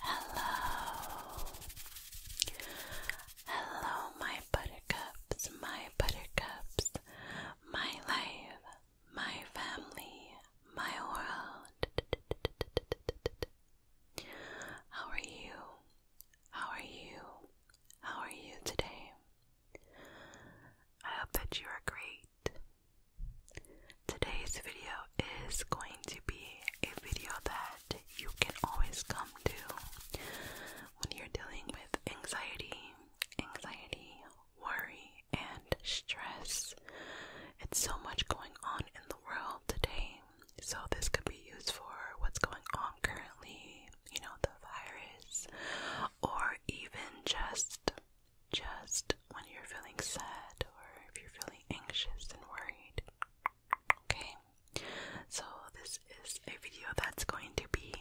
Hello. Hello, my buttercups, my buttercups, my life, my family, my world. How are you? How are you? How are you today? I hope that you are great. Today's video is going to be a video that you can always come to when you're dealing with anxiety, anxiety, worry, and stress. It's so much going on in the world today, so this could be used for what's going on currently, you know, the virus, or even just just when you're feeling sad or if you're feeling anxious and worried. Okay, so this is a video that's going to be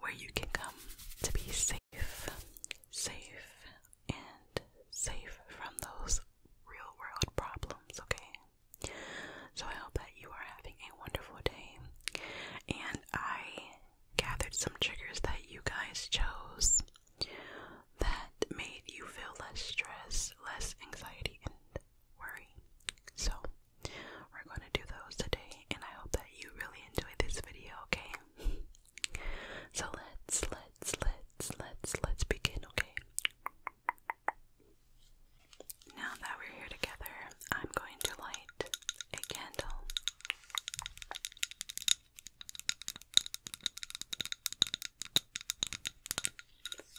where you can come to be safe, safe, and safe from those real world problems. Okay, so I hope that you are having a wonderful day, and I gathered some triggers that you guys chose that made you feel less stress, less anxiety, and worry. So, we're going to do those today, and I hope that you really enjoyed this video, okay? so, let's, let's, let's, let's, let's begin, okay? Now that we're here together, I'm going to light a candle.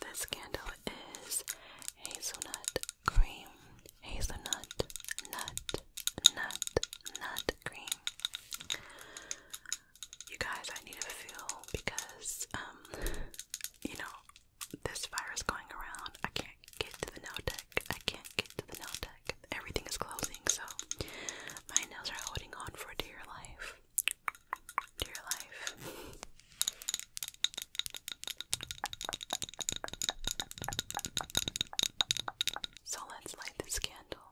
This candle is hazelnut cream, hazelnut, nut, nut, nut cream. You guys, I need a feel because, um, you know, this virus going around. I can't get to the nail deck. I can't get to the nail deck everything is closing, so my nails are holding on for dear life. Dear life. so let's light this candle.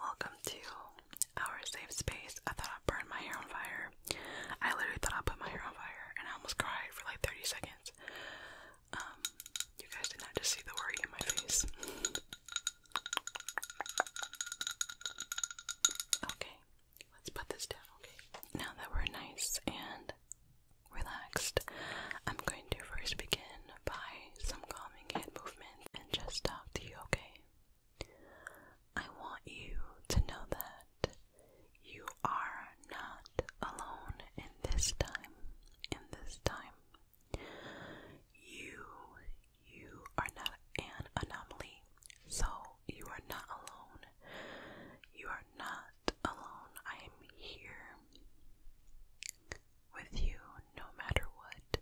Welcome to our safe space burn my hair on fire. I literally thought I put my hair on fire and I almost cried for like 30 seconds. Um, you guys did not just see the worry in my face. Okay, let's put this down, okay? Now that we're nice and relaxed, I'm going to first begin by some calming hand movement and just talk to you, okay? I want you to know that you are not alone in this time. In this time, you you are not an anomaly. So you are not alone. You are not alone. I am here with you no matter what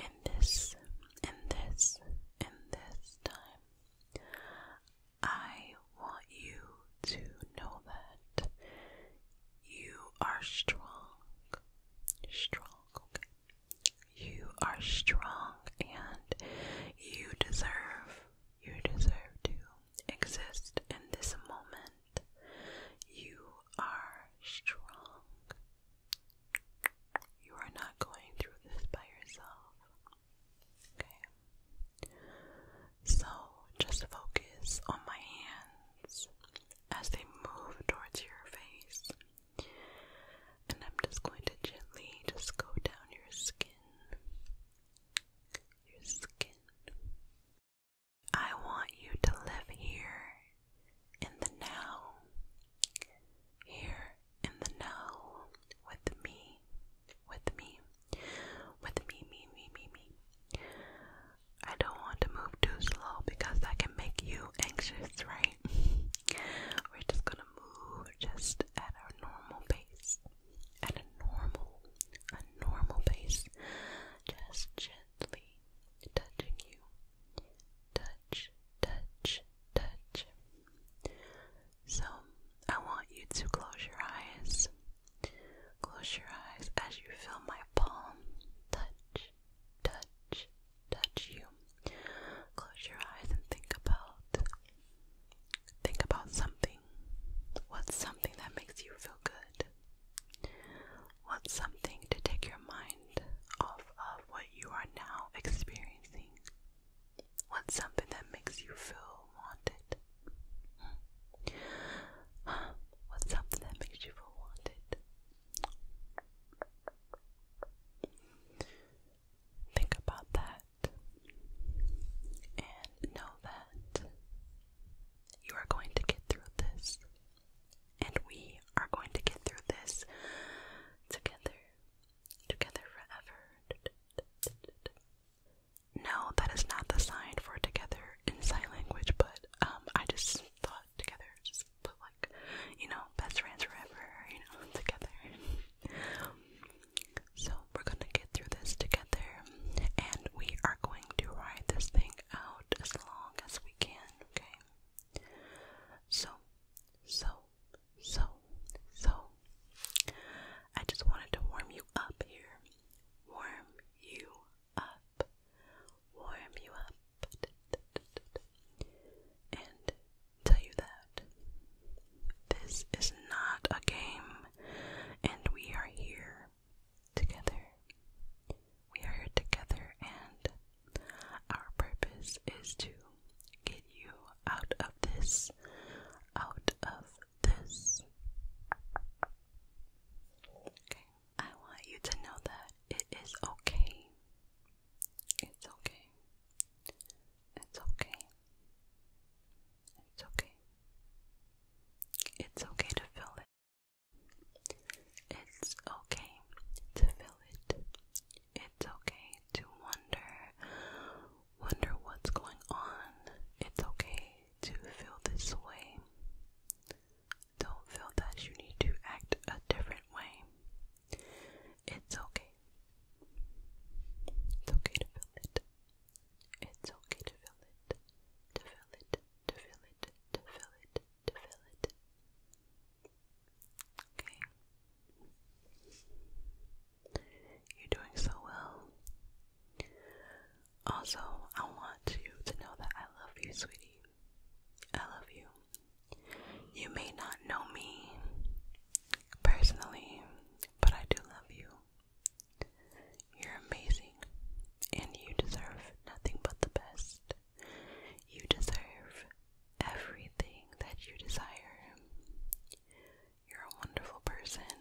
in this in this in this time I want you to know that you are strong. Strong, You are strong and you deserve, you deserve to exist in this moment. You are strong. You are not going through this by yourself. Okay? So, just focus on my hands as they move towards your face. And I'm just going to gently just go down your skin. Your skin. I want you to live here in the now here in the now, with me, with me, with me, me, me, me, me. I don't want to move too slow because that can make you anxious, right? We're just gonna move just at a normal pace, at a normal, a normal pace, just gently touching you. Touch, touch, touch. So, I want you to close your eyes. Close your eyes as you feel my palm touch, touch, touch you. Close your eyes and think about think about something. What's something that makes you feel good? What's something to take your mind off of what you are now experiencing? What's something that makes you feel wanted? Hmm. What's something that makes you feel wanted? Think about that and know that you are going to get through this, and we are going to get through this together. Together forever. No, that is not the sign for together in sign language, but um, I just thought together, just put like, you know, best friends forever, you know, together. so we're gonna get through this together, and we are going to ride this thing out as long as we can, okay? So, so, so, so, I just wanted to warm you up here. Warm you up. Warm you up. And tell you that this is not a game, and we are here together. We are here together, and our purpose is to get you out of this, out of this. Okay, I want you to know that it is okay. It's okay. It's okay. It's okay. It's okay to feel it. It's okay to feel it. It's okay to wonder, wonder what's going on. It's okay to feel this way. Don't feel that you need to act a different way. It's okay. It's okay to feel it. It's okay to feel it. To feel it. To feel it. To feel it. To feel it. Okay. You're doing so well. Also, I want you to know that I love you, sweetie. I love you. You may not know me personally, but I do love you. You're amazing, and you deserve nothing but the best. You deserve everything that you desire. You're a wonderful person,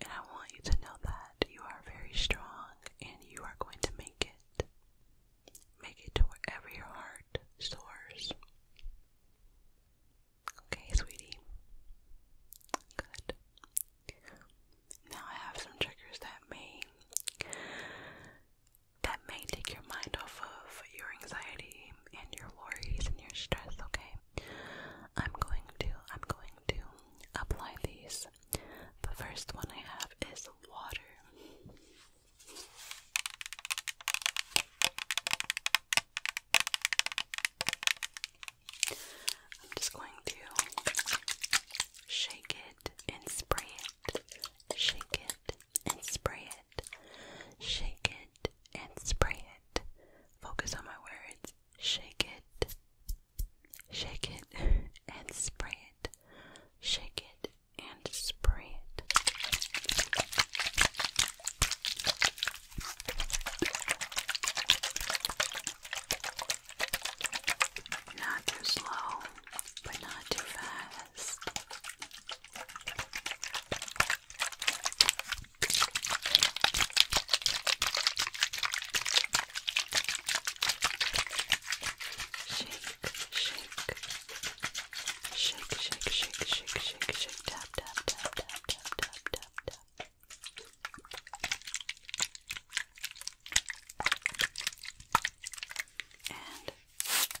and I want you to know that you are very strong and you are going to make it. Make it to wherever your heart soars. Okay, sweetie. Good. Now I have some triggers that may that may take your mind off of your anxiety and your worries and your stress, okay? I'm going to I'm going to apply these. The first one I have is water. I'm just going to shake it and spray it, shake it and spray shake it, and spray it. Focus on my words. Shake it, shake it, and spray it. Shake it and spray it. Not too slow, but not too fast best. Shake, shake, shake, shake, shake, shake, shake, shake, tap, tap, tap, tap, tap, tap, tap, tap. And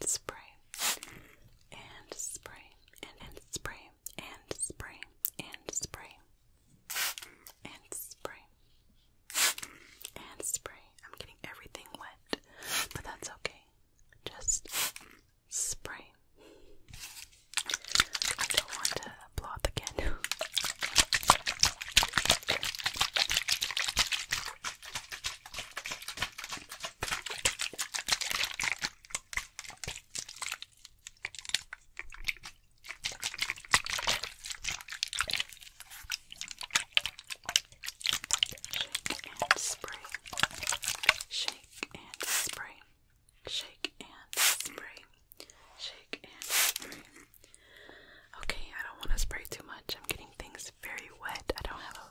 and spray and spray and, and spray and spray and spray and spray and spray. I'm getting everything wet, but that's okay. Just spray. I don't want to blow the again. and spray, shake and spray, shake and spray, shake and spray. Okay, I don't want to spray too much. I'm getting things very wet. I don't have a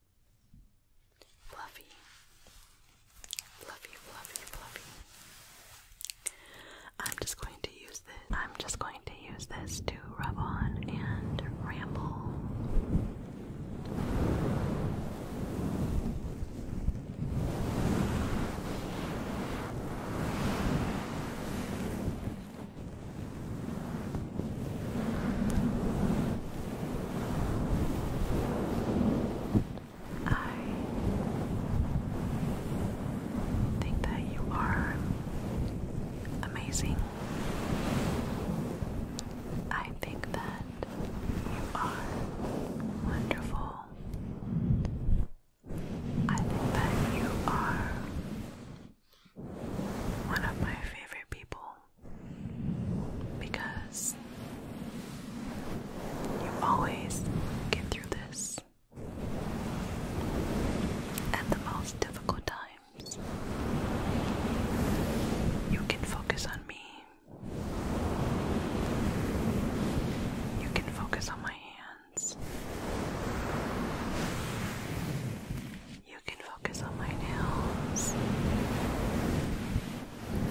Fluffy. Fluffy, fluffy, fluffy. I'm just going to use this. I'm just going to use this to rub on and ramble. I think that you are amazing. I think that you are wonderful. I think that you are one of my favorite people because you always get through this at the most difficult times. You can focus on me. You can focus on my hands. You can focus on my nails.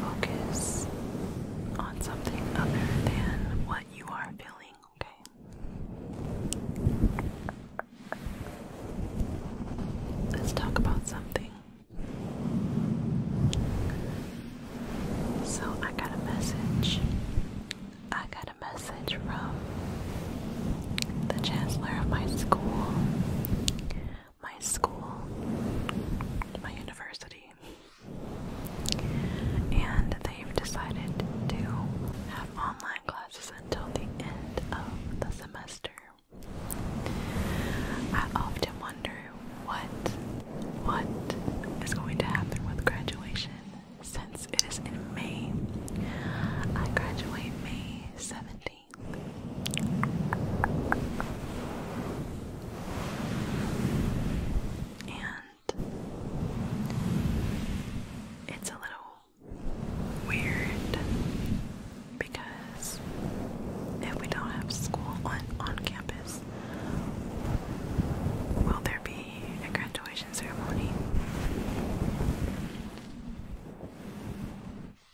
Focus on something other than what you are feeling, okay? Let's talk about something. So, I got a message. I got a message from the chancellor of my school, my school, my university, and they've decided to have online classes until the end of the semester. I often wonder what what is going to happen with graduation since it is in May. I graduate May 17th. And it's a little weird because if we don't have school on, on campus, will there be a graduation ceremony?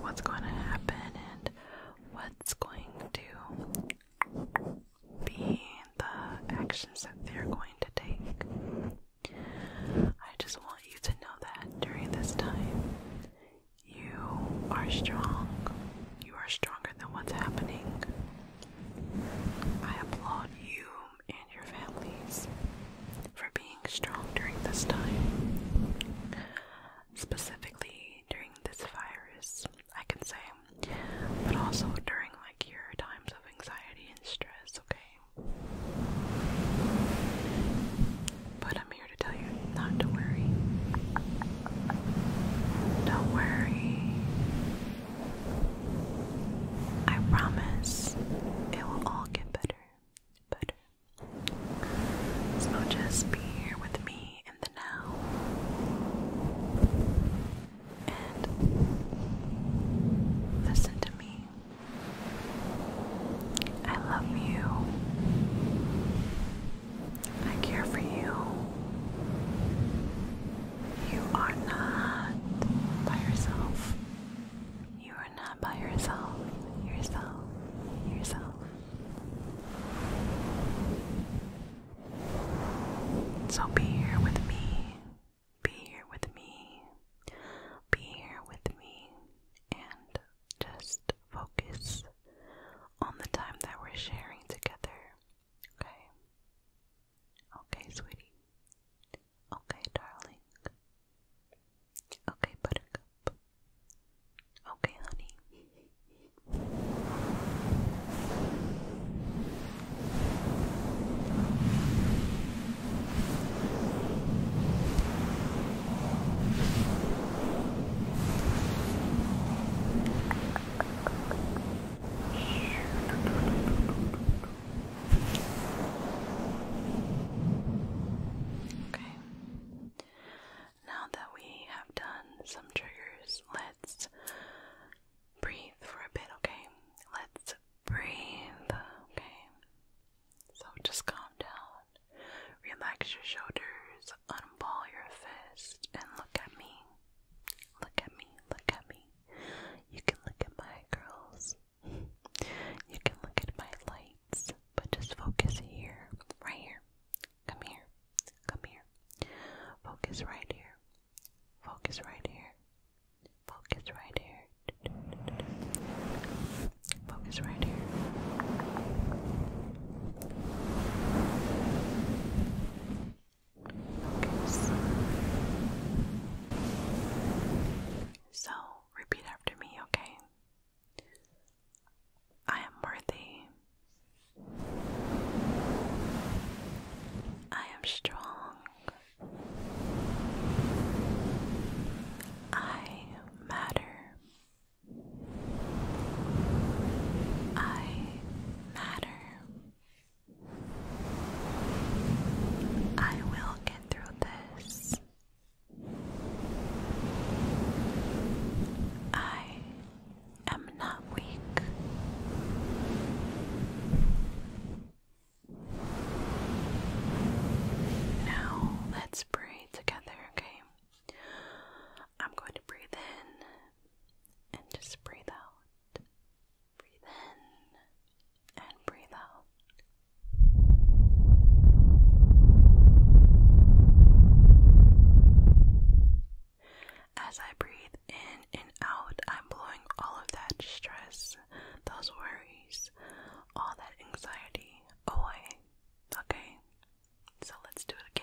what's going to happen and what's going to be the actions that they're going to take. I just want you to know that during this time, you are strong. You are stronger than what's happening. I applaud you and your families for being strong during this time. Specifically during this virus, I can say, but also during like your times of anxiety and stress, okay? But I'm here to tell you not to worry. Don't worry. I promise it will all get better. Better, so just be here with me in the now. And listen to me. I love you. I care for you. You are not by yourself. You are not by yourself, yourself, yourself. So be here with me, be here with me, be here with me, and just focus on the time that we're sharing together. Okay? Okay, sweetie. Okay, darling. Okay, buttercup. Okay, honey. Okay. Now that we have done some triggers, let's breathe for a bit, okay? Let's breathe, okay? So just calm down, relax your shoulders, unball your fist, and look at me. Look at me, look at me. You can look at my curls. You can look at my lights, but just focus here, right here. Come here, come here. Focus right here, focus right here, focus right here, focus right here. So, repeat after me, okay? I am worthy. I am strong. I matter. I matter. I will get through this. I am not weak. Now let's breathe together, okay? I'm going to breathe in and just breathe out. Breathe in and breathe out. As I breathe in and out, I'm blowing all of that stress, those worries, all that anxiety away. Okay? So let's do it again.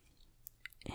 in.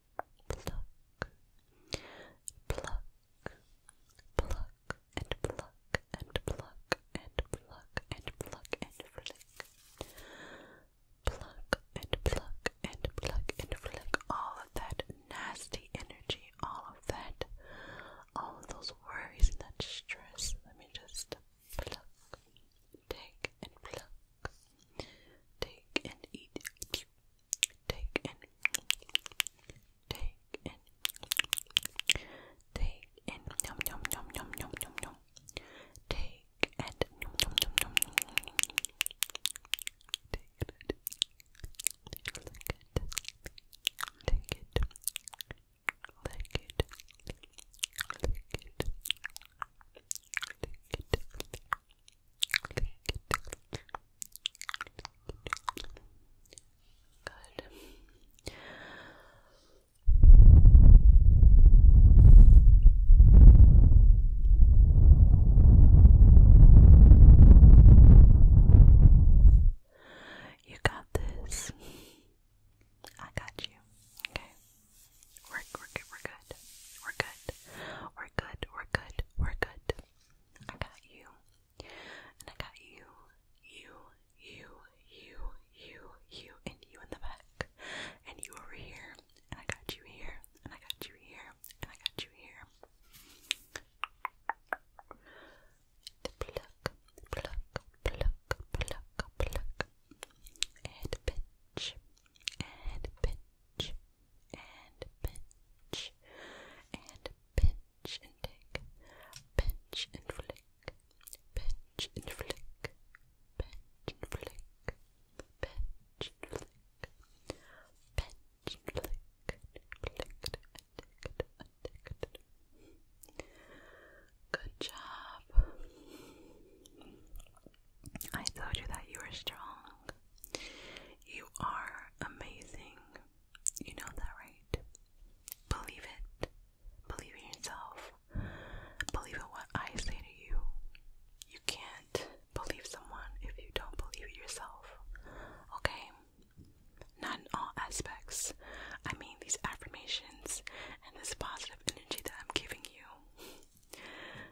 pluck, pluck, pluck, and pluck, and pluck, and pluck, and pluck, and flick. Pluck and pluck and pluck and flick all of that nasty energy, all of that, all of those worries and that stress. Let me just pluck, take and pluck, take and eat, take in, take in, take in, yum yum yum yum yum yum yum, take and take it, lick it, lick it, lick it, lick it, lick it, lick it, Good. You got this. I got you. Okay. We're, We're good. We're good. We're good. We're good. We're good. I got you. And I got you, you, you, you, you, you, and you in the back. And you over here. And I got you here. And I got you here. And I got you here. pluck, pluck, pluck, pluck, pluck. And pinch. And pinch and pinch and pinch and take, pinch and flick, pinch and flick, pinch and flick, pinch and flick, pinch and flick, flicked and ticked and Good job. I told you that you were strong. You are amazing. You know that, right? Believe it. Believe in yourself. Believe in what I say to you. You can't believe someone if you don't believe in yourself. Okay? Not in all aspects. I mean, these affirmations and this positive energy that I'm giving you.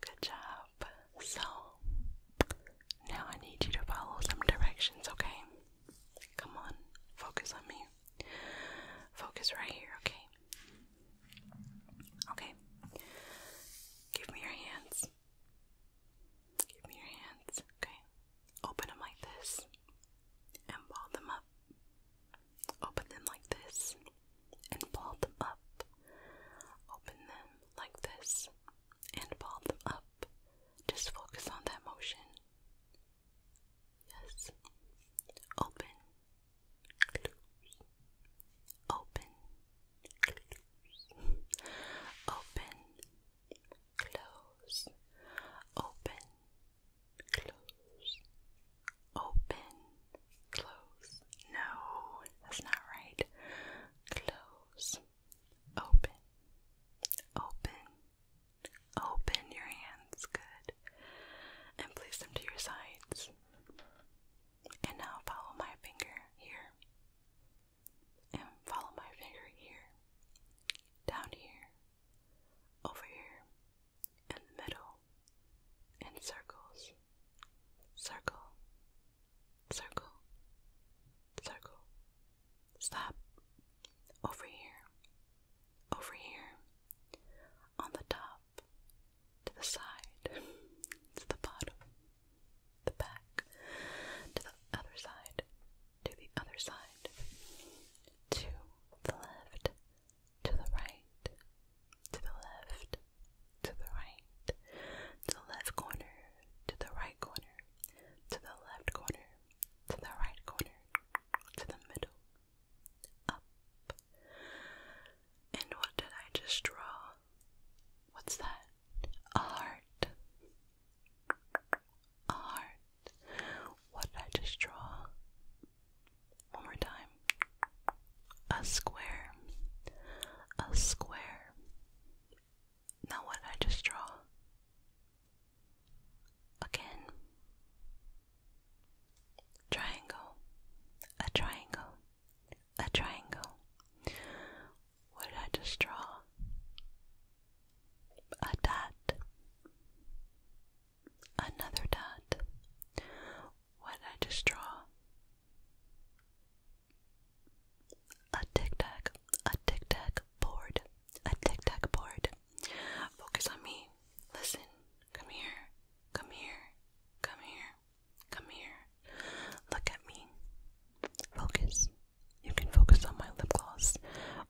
Good job. So, now I need you to follow some directions, okay? Come on, focus on me. Focus right here, okay? Okay. Give me your hands. Give me your hands, okay? Open them like this and ball them up. Open them like this and ball them up. Open them like this and ball them up. Just focus on that motion. Yes. Open. Open. Open. Close. Open close, open, close. No, that's not right. Close, open, open, open your hands. Good. And place them to your sides. And now follow my finger here. And follow my finger here. Down here. Over here in the middle, in circles, circle, circle, circle. Stop over here, over here, on the top, to the side, to the bottom, the back, to the other side, to the other side, to the left to the right, to the left, to the right, to the left corner, to the right corner, to the left corner, to the right corner, to the middle, up. And what did I just draw? What's that? A heart. A heart. What did I just draw? One more time. A square. A square. Now what I just draw. Again. Triangle. A triangle. A triangle. What did I just draw? A dot. Another dot. What did I just draw? A tic tac, a tic tac board, a tic tac board. Focus on me. Listen. Come here. Come here. Come here. Come here. Look at me. Focus. You can focus on my lip gloss,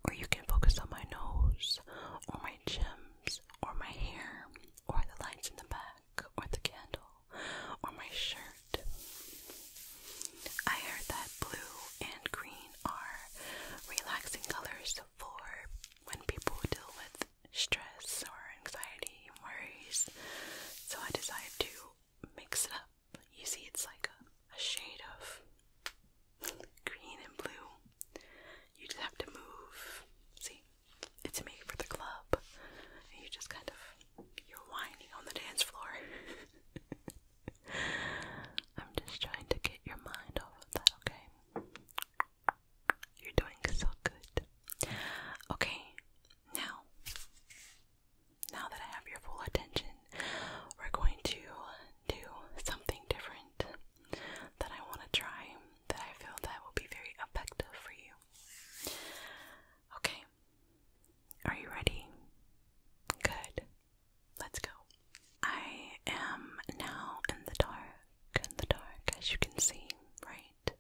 or you can focus on my nose, or my gems, or my hair, or the lights in the back, or the candle, or my shirt. I heard that blue and green are relaxing colors for when people deal with stress or anxiety worries. So I decided to mix it up. You see, it's like a shade of green and blue. You just have to move. See, it's made for the club. you just kind of, you're whining on the dance floor. I'm just trying to get your mind off of that, okay? You're doing so good. Okay, now, now that I have your full attention, we're going to do something different that I want to try that I feel that will be very effective for you. Okay. Are you ready? Good. Let's go. I am now in the dark, in the dark, as you can see, right?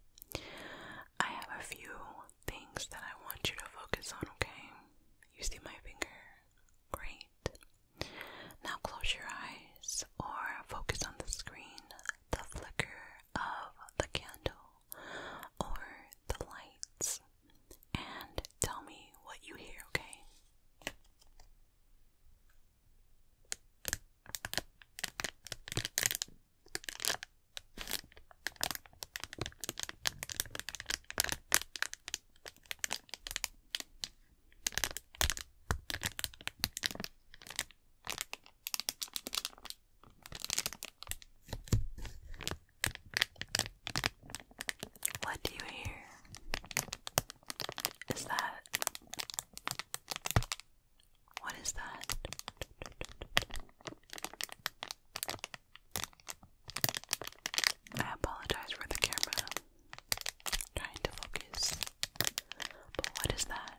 I have a few things that I want you to focus on, okay? You see my finger? Great. Now close your eyes or focus on the screen, the flicker of the candle, or the lights, and tell me what you hear, okay? What do you hear? Is that what is that? I apologize for the camera trying to focus. But what is that?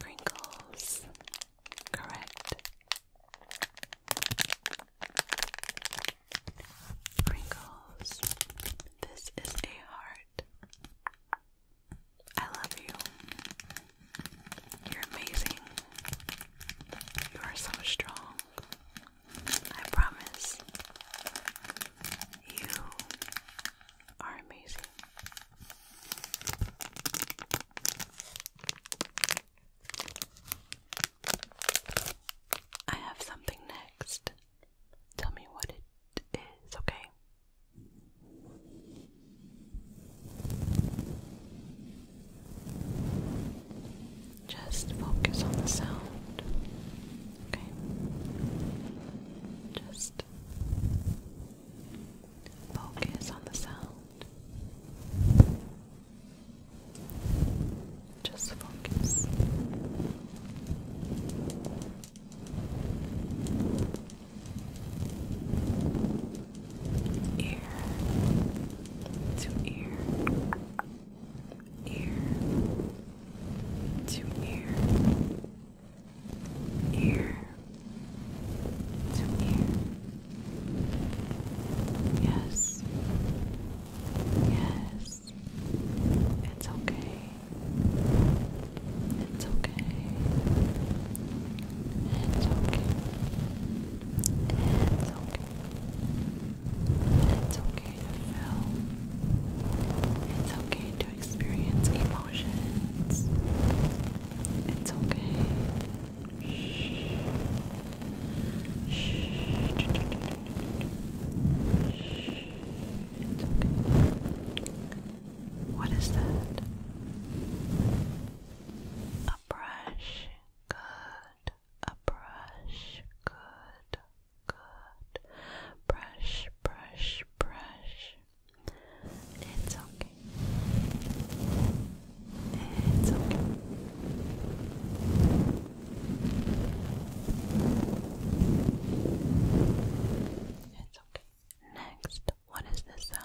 Pringles. Correct. Pringles. This is a heart. I love you. You're amazing. You are so strong. I promise. You are amazing. I have something next. Tell me what it is, okay? Just focus on the sound. Okay. Just focus on the sound. Just focus ear to ear, ear to ear, ear to ear. Yes, yes, it's okay. It's okay. It's okay. It's okay. It's okay to feel. It's okay to experience emotions. It's okay. It's okay. What is that? A brush. Good. A brush. Good. Good. Brush, brush, brush. It's okay. It's okay. It's okay. Next, what is this sound?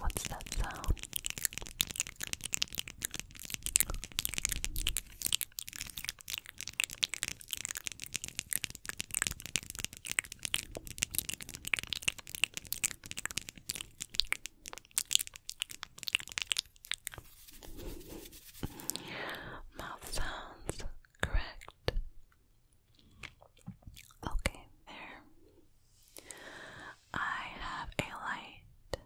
What's that sound? Mouth sounds correct. Okay, there. I have a light.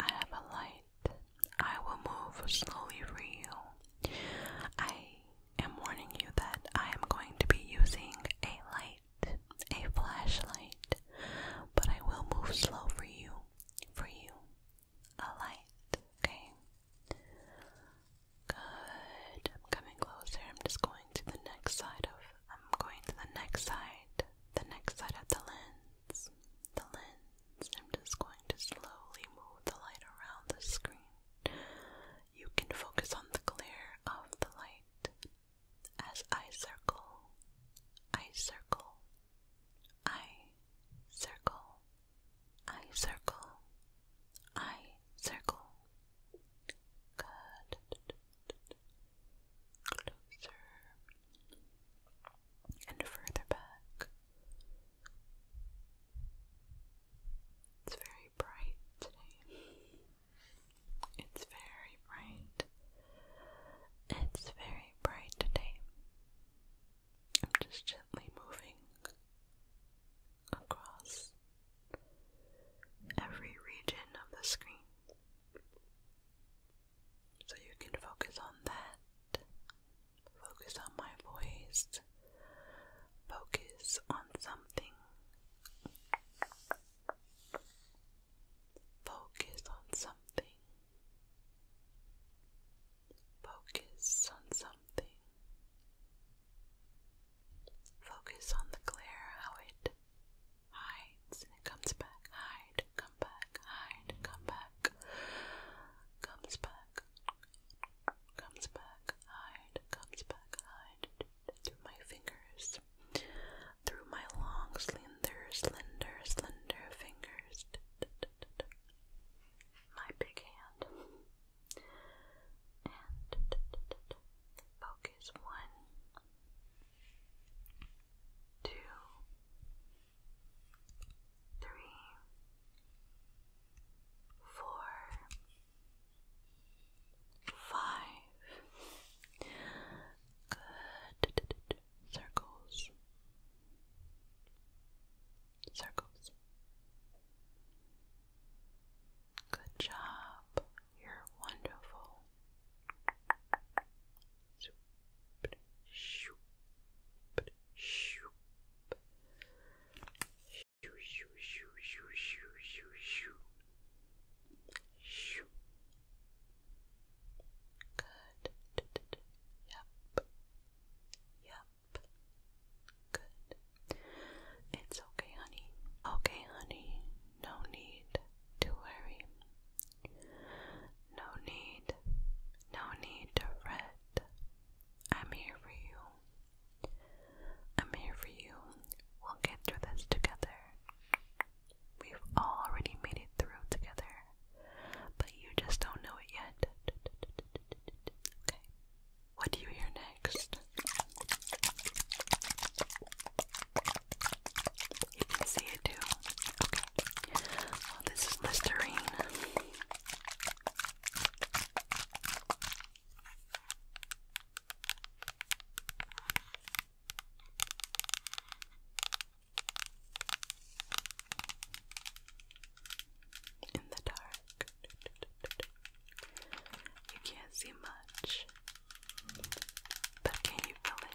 I have a light. I will move slowly for you. I am warning you that I am going to be using a light, a flashlight, but I will move slow for you. For you. A light, okay? Good. I'm coming closer. I'm just going to the next side of I'm going to the next side, the next side of the lens. The lens. I'm just going to slowly move the light around the screen. You can focus on the glare of the light as I circle, I circle, I circle, I circle, I circle. Good closer and further back. It's very bright today. It's very bright. It's very bright today. I'm just gently moving across every region of the screen. So you can focus on that. Focus on my voice. Focus on something. Focus on something. Focus on something. Focus on the glare, how it hides, and it comes back, hide, come back, hide, come back, comes back, comes back, hide, comes back, hide, through my fingers, through my long, slender, slender, slender fingers, my big hand, and focus one two, three, four, five. Good circles, circles. Good job. You're wonderful. Good. Yep. Yep. Good. It's okay, honey. Okay, honey. No need to worry. No need, no need to fret. I'm here for you. I'm here for you. We'll get through this together. We've already made it through together, but you just don't know it yet. Okay. What do you hear next? You can see it too. Okay. this is Listerine. In the dark, you can't see much. But can you feel it?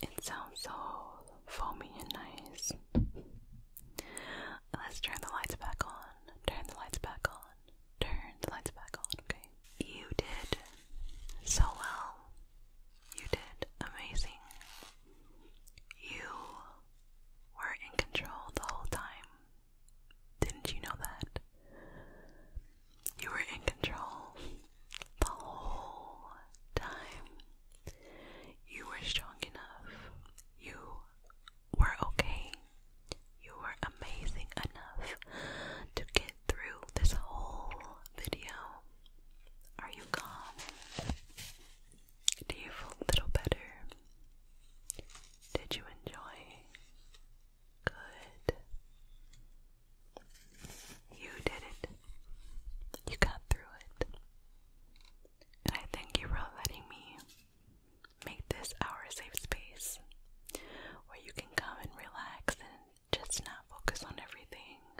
It sounds so foamy and nice. Let's turn the lights back on. Turn the lights back on. Turn the lights back on, okay? You did so well. You did amazing. You were in control the whole time. Didn't you know that? You were in control the whole time. You were strong enough. You were okay. You were amazing enough to get through this whole video. Are you calm? Do you feel a little better? Did you enjoy? Good. You did it. You got through it. And I thank you for letting me make this our safe space where you can come and relax and just not focus on everything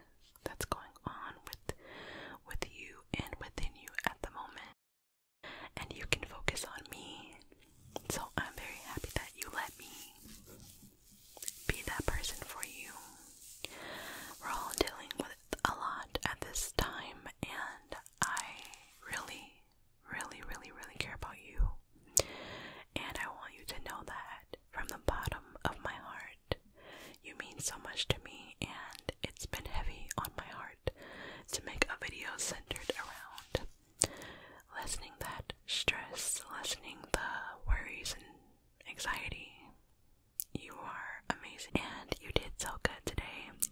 that's going on with with you and within you at the moment and you can focus on me. So I'm very happy that you let me be that person for you. We're all dealing with a lot at this time, and I really, really, really, really care about you. And I want you to know that from the bottom of my heart. You mean so much to me, and it's been heavy on my heart to make a video centered around lessening that stress, lessening the worries and anxiety. You are amazing, and you did so good today.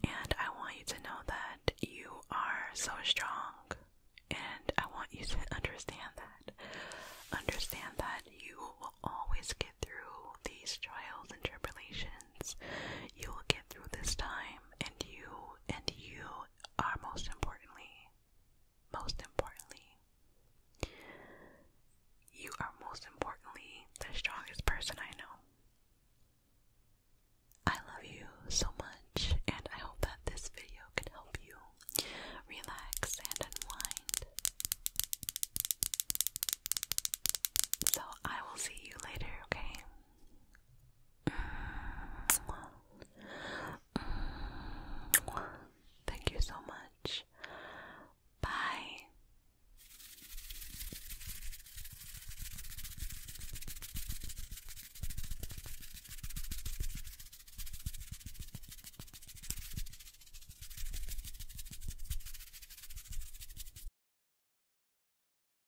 And I want you to know that you are so strong, and I want you to understand that. Understand that you will always get through these trials and tribulations. You will get through this time, and you, and you are most importantly, most importantly, you are most importantly the strongest person I know. I love you so much, and I hope that this video can help you relax and unwind. So, I will see you later, okay? Thank you so much. Bye.